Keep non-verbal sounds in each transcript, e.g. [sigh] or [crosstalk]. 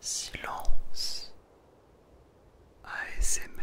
Silence ASMR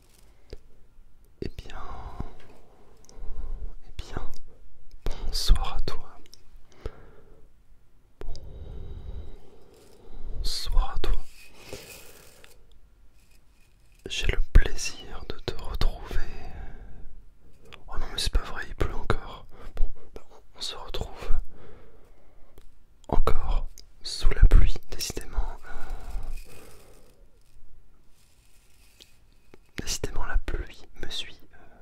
Eh bien, eh bien, bonsoir à toi. Bonsoir à toi. J'ai le plaisir de te retrouver. Oh non mais c'est pas vrai, il pleut encore. Bon, bah, on se retrouve encore sous la pluie, décidément. Euh, Décidément la pluie me suit, euh,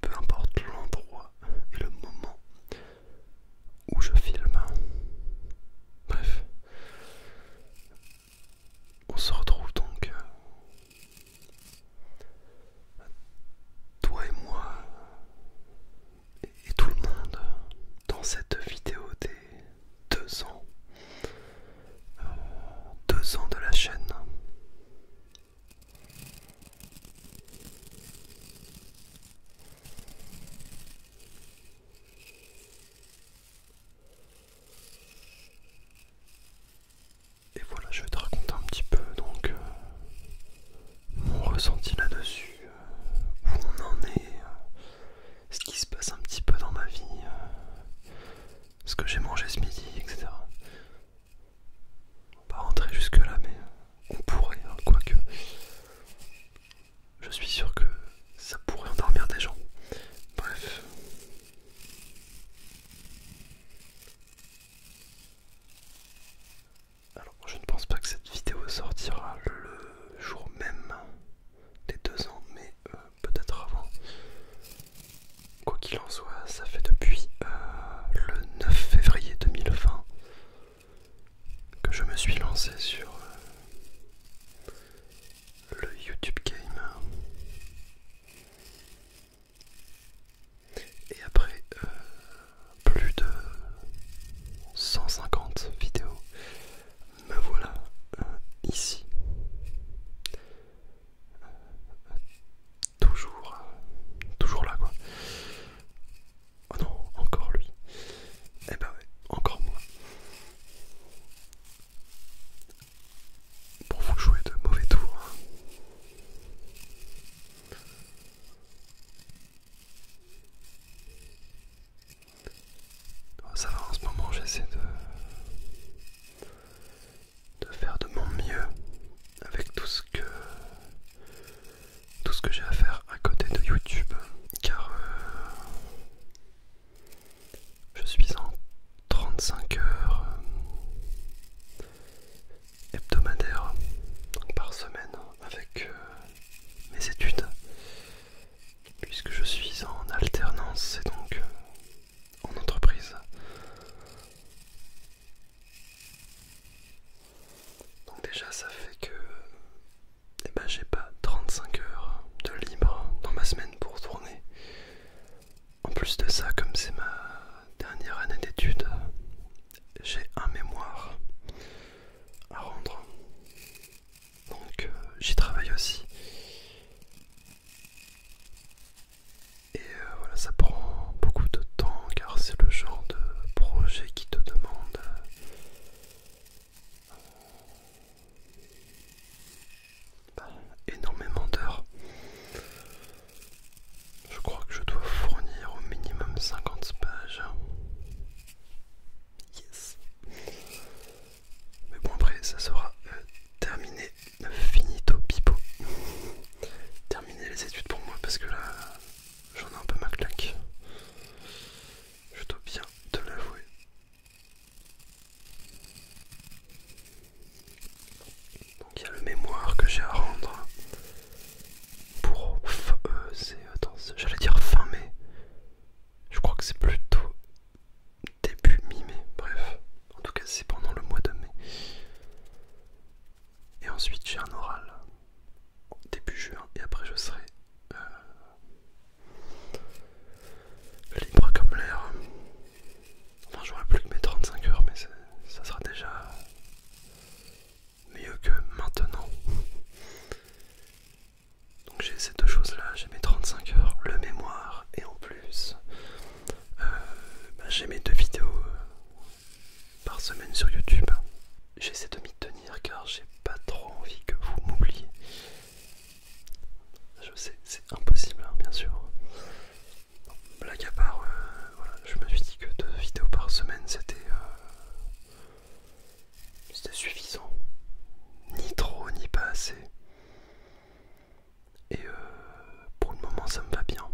peu importe l'endroit et le moment où je filme. Bref, on se retrouve donc, euh, toi et moi, et tout le monde, dans cette vidéo des deux ans, deux ans de la chaîne. Et voilà, je vais te raconter un petit peu donc euh, mon ressenti là-dessus, euh, où on en est, euh, ce qui se passe un petit peu dans ma vie, euh, ce que j'ai mangé ce midi, etc. On va rentrer jusque là, mais euh, on pourrait, hein, quoique. Je suis sûr que ça pourrait endormir des gens. Bref. Alors, je ne pense pas que cette vidéo sortira le jour même des deux ans, mais euh, peut-être avant. Quoi qu'il en soit, ça fait depuis euh, le 9 février 2020 que je me suis lancé sur euh, le YouTube Game. Et après plus de 150 vidéos, me voilà euh, ici toujours toujours là quoi oh non encore lui et eh ben ouais encore moi pour vous jouer de mauvais tours hein ça va en ce moment, j'essaie de, de faire de mon mieux avec tout ce que tout ce que j'ai à faire à côté de YouTube, car euh, je suis en 35 heures euh, hebdomadaires par semaine avec euh, mes études puisque je suis en alternance et donc euh, en entreprise. Donc déjà ça fait que eh ben, j'ai pas 35 heures de libre dans ma semaine pour tourner. En plus de ça, comme c'est ma dernière année d'études, j'ai un mémoire à rendre. Donc euh, j'y travaille aussi. Et euh, voilà, ça prend beaucoup de temps car c'est le genre de projet qui te demande euh, bah, énormément d'heures. Je crois que je dois fournir au minimum 50 pages Yes. Mais bon après ça sera euh, terminé, finito pipo. Terminer les études pour moi parce que là j'en ai un peu ma claque. Je dois bien te l'avouer. Donc il y a le mémoire que j'ai à rendre pour euh, j'allais dire fin mai je crois que c'est plutôt début mi-mai bref en tout cas c'est pendant le mois de mai et ensuite j'ai un oral début juin et après je serai euh, libre comme l'air enfin j'aurai plus que mes 35 heures mais ça sera déjà mieux que maintenant. Donc j'ai ces deux choses là, j'ai mes 35 heures, le mémoire et en plus euh, bah, j'ai mes deux vidéos euh, par semaine sur YouTube. J'essaie de m'y tenir car j'ai pas trop envie que vous m'oubliez. Je sais, c'est impossible hein, bien sûr. Blague à part, euh, je me suis dit que deux vidéos par semaine c'était euh, suffisant, ni trop ni pas assez. Et euh, pour le moment ça me va bien.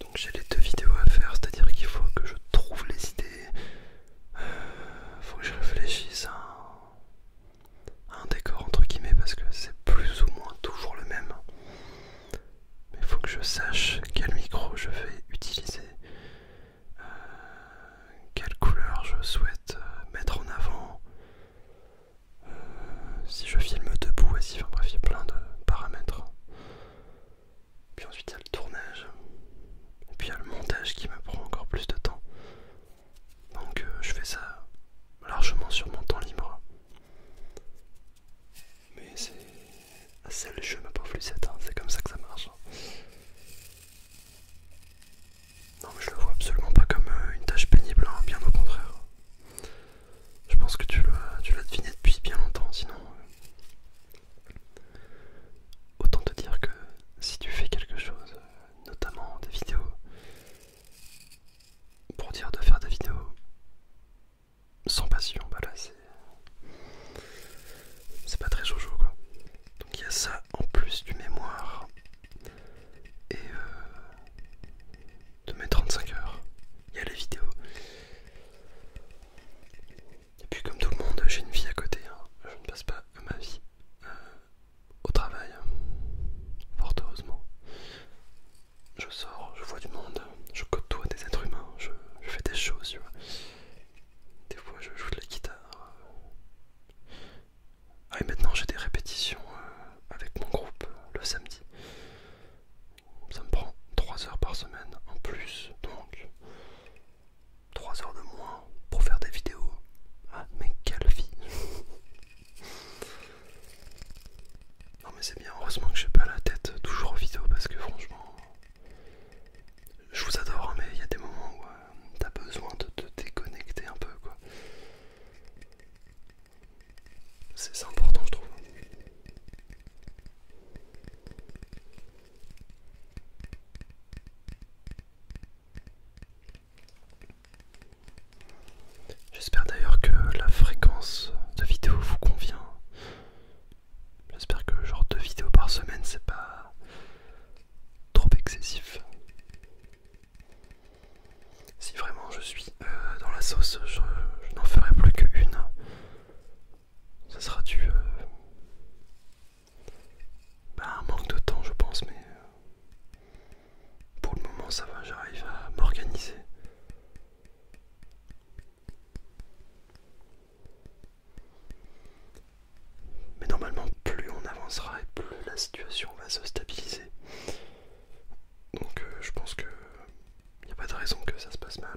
Donc j'ai les deux vidéos à faire, c'est-à-dire qu'il faut que je trouve les idées, euh, faut que je réfléchisse un décor entre guillemets parce que c'est plus ou moins toujours le même. Mais il faut que je sache quel micro je vais utiliser, euh, quelle couleur je souhaite euh, mettre en avant, euh, si je filme debout, et si, enfin bref, il y a plein de paramètres. Puis ensuite il y a le tournage, et puis il y a le montage qui me prend encore plus de temps. Donc je fais ça largement sur mon temps libre. Mais c'est le jeu, ma pauvre Lucette, hein. c'est comme ça que ça marche. Hein. Non mais je le vois absolument pas comme euh, une tâche pénible, hein, bien au contraire. Je pense que tu l'as deviné depuis bien longtemps, sinon... Euh, autant te dire que si tu fais quelque chose, euh, notamment des vidéos, pour dire de faire des vidéos sans passion, bah là c'est. pas très jojo quoi. Donc il y a ça en plus du mémoire et euh, de mes 35 heures. Il y a les vidéos. Et puis comme tout le monde, j'ai une vie à côté. Hein. Je ne passe pas ma vie euh, au travail, fort heureusement je sors, je vois du monde, je côtoie des êtres humains, je, fais des choses, tu vois. Des fois je joue de la guitare. Ah et maintenant j'ai des répétitions euh, avec mon groupe le samedi. Ça me prend 3 heures par semaine en plus, donc 3 heures de moins pour faire des vidéos. Ah mais quelle vie non mais c'est bien, heureusement que j'ai pas la tête toujours en vidéo parce que franchement, je vous adore hein, mais il y a des moments où euh, t'as besoin de te déconnecter un peu quoi. C'est important je trouve. J'espère d'ailleurs que la fréquence de vidéo vous convient. J'espère que le genre de vidéo par semaine c'est pas trop excessif. Si vraiment je suis euh, dans la sauce, je, n'en ferai plus qu'une. Ça sera du... à euh, bah, un manque de temps je pense, mais... Euh, pour le moment ça va, j'arrive à m'organiser. Mais normalement plus on avancera et plus la situation va se stabiliser. Donc euh, je pense que il n'y a pas de raison que ça se passe mal.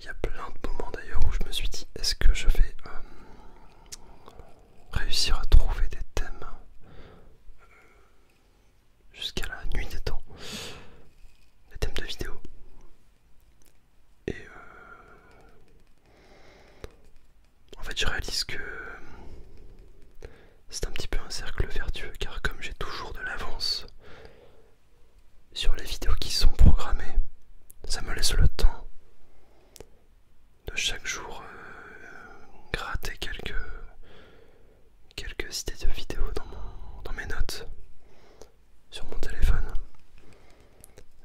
Il y a plein de moments d'ailleurs où je me suis dit est-ce que je vais euh, réussir à trouver des thèmes euh, jusqu'à la nuit des temps, des thèmes de vidéo. Et euh, en fait je réalise que c'est un petit peu un cercle vertueux car comme j'ai toujours de l'avance sur les vidéos qui sont programmées. Ça me laisse le temps de chaque jour euh, gratter quelques, quelques idées de vidéos dans, mes notes sur mon téléphone.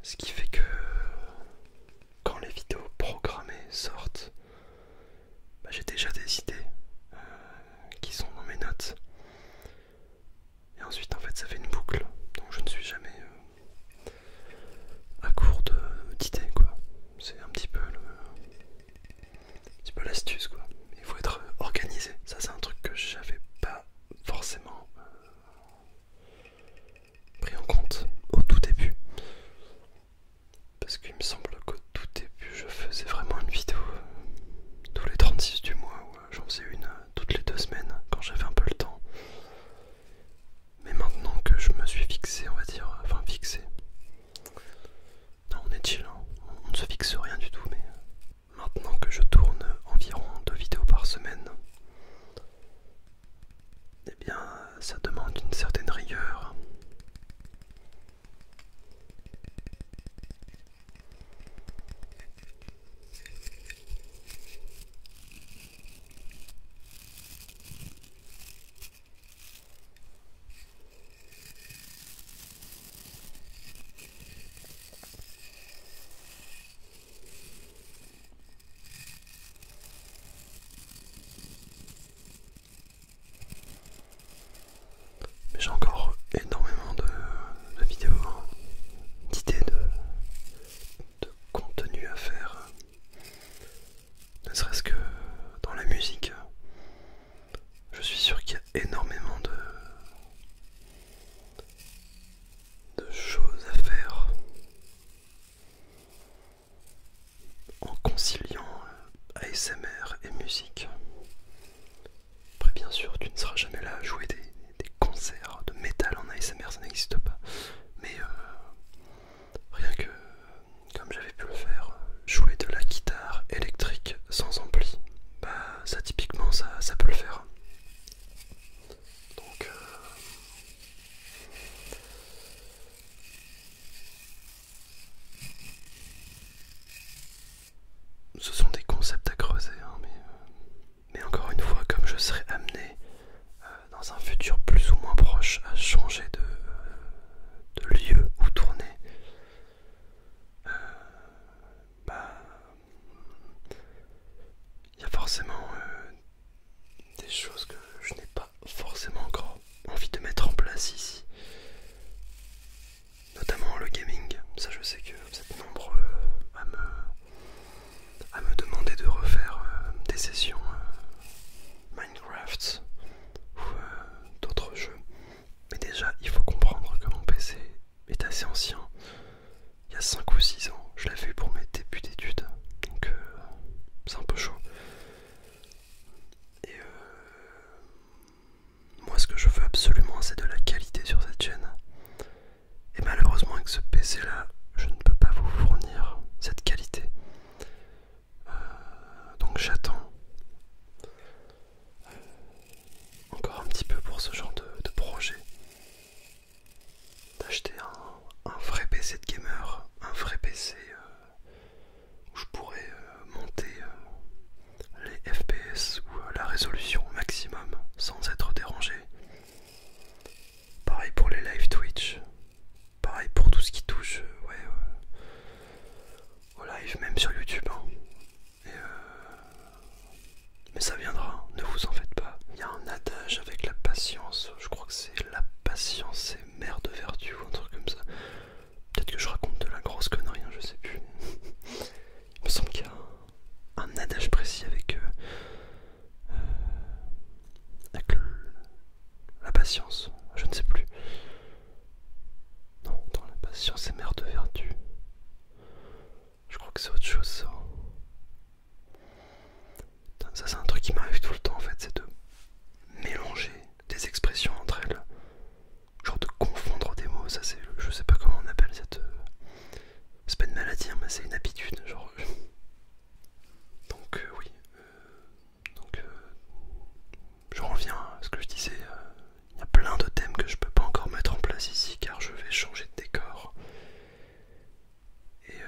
Ce qui fait que quand les vidéos programmées sortent, bah, j'ai déjà des idées euh, qui sont dans mes notes. Et ensuite, en fait, ça fait une boucle. Donc, je ne suis jamais euh, à court d'idées, quoi. C'est un petit peu l'astuce, quoi. Il faut être organisé. Ça, c'est un truc que j'avais pas forcément euh, pris en compte au tout début. Parce qu'il me semble qu'au tout début, je faisais vraiment une vidéo euh, tous les 36 du mois où j'en faisais une toutes les deux semaines quand j'avais un peu le temps. Mais maintenant que je me suis fixé, on va dire, enfin fixé. Non, on est chill, hein. on ne se fixe rien du tout, mais maintenant que je tourne environ deux vidéos par semaine, eh bien ça demande une certaine rigueur j'ai encore énormément de euh, de vidéos, d'idées de, contenu à faire, ne serait-ce que dans la musique. Je suis sûr qu'il y a énormément de choses à faire en conciliant euh, ASMR et musique. Après, bien sûr, tu ne seras jamais là à jouer des, concerts de métal en ASMR, ça n'existe pas. Mais euh, rien que, comme j'avais pu le faire, euh, jouer de la guitare électrique sans ampli, bah ça typiquement, ça, ça peut le faire. Donc... Euh, ce sont des concepts à creuser, hein, euh, mais, encore une fois, comme je serai amené euh, dans un futur plus ou moins proche à changer de, euh, lieu ou tourner, bah, il y a forcément des choses que je n'ai pas forcément encore envie de mettre en place ici notamment le gaming. Ça, je sais que vous êtes nombreux à me, à me demander de refaire euh, des sessions euh, Minecraft ou euh, d'autres jeux. Mais déjà, il faut comprendre que mon PC est assez ancien. Il y a 5 ou 6 ans, je l'avais vu pour mes débuts d'études. Donc, c'est un peu chaud. Et euh, moi ce que je veux absolument c'est de la qualité sur cette chaîne. Et malheureusement avec ce PC là, je ne peux pas vous fournir cette qualité. Euh, donc j'attends euh, encore un petit peu pour ce genre de, projet. D'acheter un, vrai PC de gamer, un vrai PC euh, où je pourrais monter les FPS ou euh, la résolution maximum sans être dérangé. Pareil pour les live Twitch, pareil pour tout ce qui touche euh, euh, au live, même sur YouTube. Hein. mais ça viendra, hein. ne vous en faites pas. Il y a un adage avec la patience, je crois que c'est la patience et mère de vertu ou un truc comme ça. Peut-être que je raconte de la grosse connerie, hein, je sais plus. [laughs] Il me semble qu'il y a un, adage précis avec, euh, euh, avec la patience, je ne sais plus. Non, la patience est mère de vertu. Je crois que c'est autre chose ça. Ça c'est un truc qui m'arrive tout le temps en fait, c'est de mélanger des expressions entre elles genre de confondre des mots, ça c'est, je sais pas comment on appelle cette, euh, c'est pas une maladie, hein, mais c'est une habitude, genre. [laughs] donc euh, oui, euh, donc je reviens à ce que je disais. il y a plein de thèmes que je peux pas encore mettre en place ici car je vais changer de décor. Et,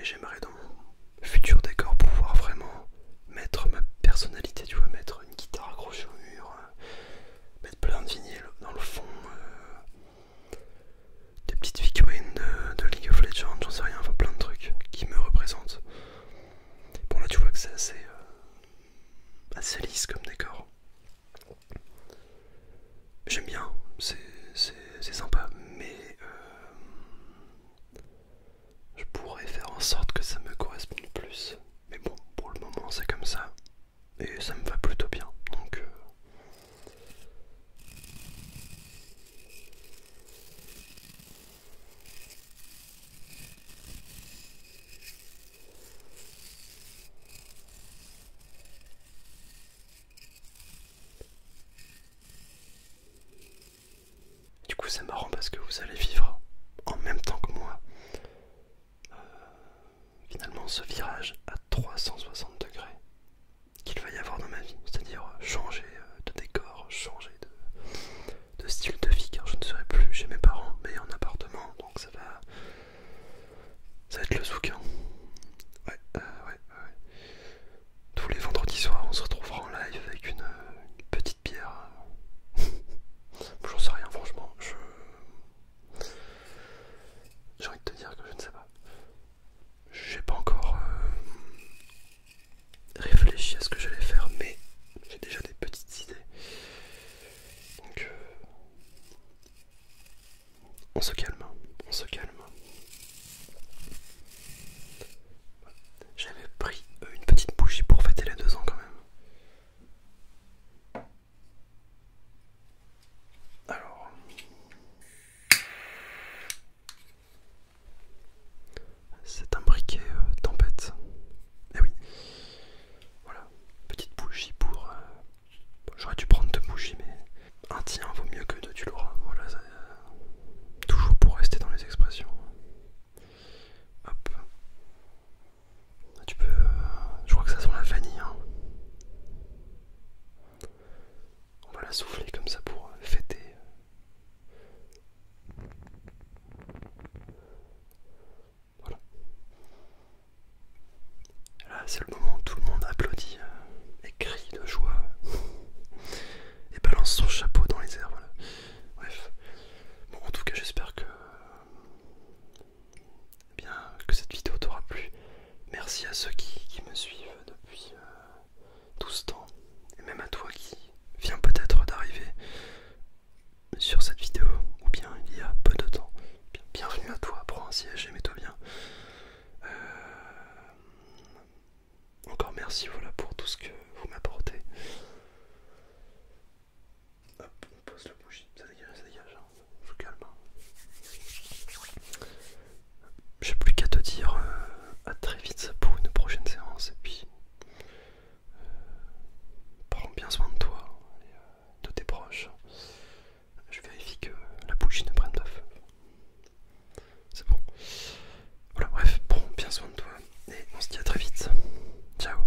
et j'aimerais dans mon futur décor pouvoir vraiment mettre ma personnalité, tu vois, mettre une guitare accrochée au mur, euh, mettre plein de vinyles dans le fond, euh, des petites figurines de, League of Legends, j'en sais rien, enfin plein de trucs qui me représentent. Bon là tu vois que c'est assez, euh, assez lisse comme décor. J'aime bien, c'est sympa, mais je pourrais faire en sorte que ça me corresponde plus. Mais bon, pour le moment, c'est comme ça. Et ça me va plutôt bien. Donc... Euh. Du coup c'est marrant parce que vous allez vivre en même temps que moi euh, finalement ce virage à 360 degrés qu'il va y avoir dans ma vie, c'est-à-dire changer euh, de décor, changer de, style de vie car je ne serai plus chez mes parents mais en appartement donc ça va ça être le souk euh, Ouais, ouais, ouais. Tous les vendredis soirs on se retrouvera en live avec une petite Pierre, [laughs] J'en sais rien, franchement. J'ai envie de te dire que je ne sais pas. J'ai pas encore euh, réfléchi à ce que j'allais faire, mais j'ai déjà des petites idées. Donc, euh, on se calme, hein. on se calme. J'avais pris euh, une petite bougie pour fêter les deux ans quand même. Alors, c'est un briquet euh, tempête. Eh oui, voilà, petite bougie pour. Euh, j'aurais dû prendre deux bougies, mais un tien vaut mieux que deux, tu l'auras. Voilà, toujours pour rester dans les expressions. Hop. Ah, tu peux... Euh, je crois que ça sent la vanille. Hein. On va la souffler comme ça pour euh, fêter. Voilà. Là, c'est le moment où tout le monde applaudit euh, et crie de joie et balance son chapeau dans les airs. Voilà. Bref. Bon, en tout cas, j'espère que, eh bien, que cette vidéo t'aura plu. Merci à ceux qui, me suivent depuis euh, tout ce temps, et même à toi qui viens peut-être d'arriver sur cette vidéo, ou bien il y a peu de temps. Bienvenue à toi, prends un siège et mets-toi bien. Euh, encore merci voilà pour tout ce que vous m'apportez. Hop, on pose la bougie, ça dégage, ça hein. hein. J'ai plus qu'à te dire euh, à très vite pour une prochaine séance et puis euh, prends bien soin de toi et euh, de tes proches. Je vérifie que la bougie ne prenne pas feu. C'est bon. Voilà, bref, prends bien soin de toi et on se dit à très vite. Ciao.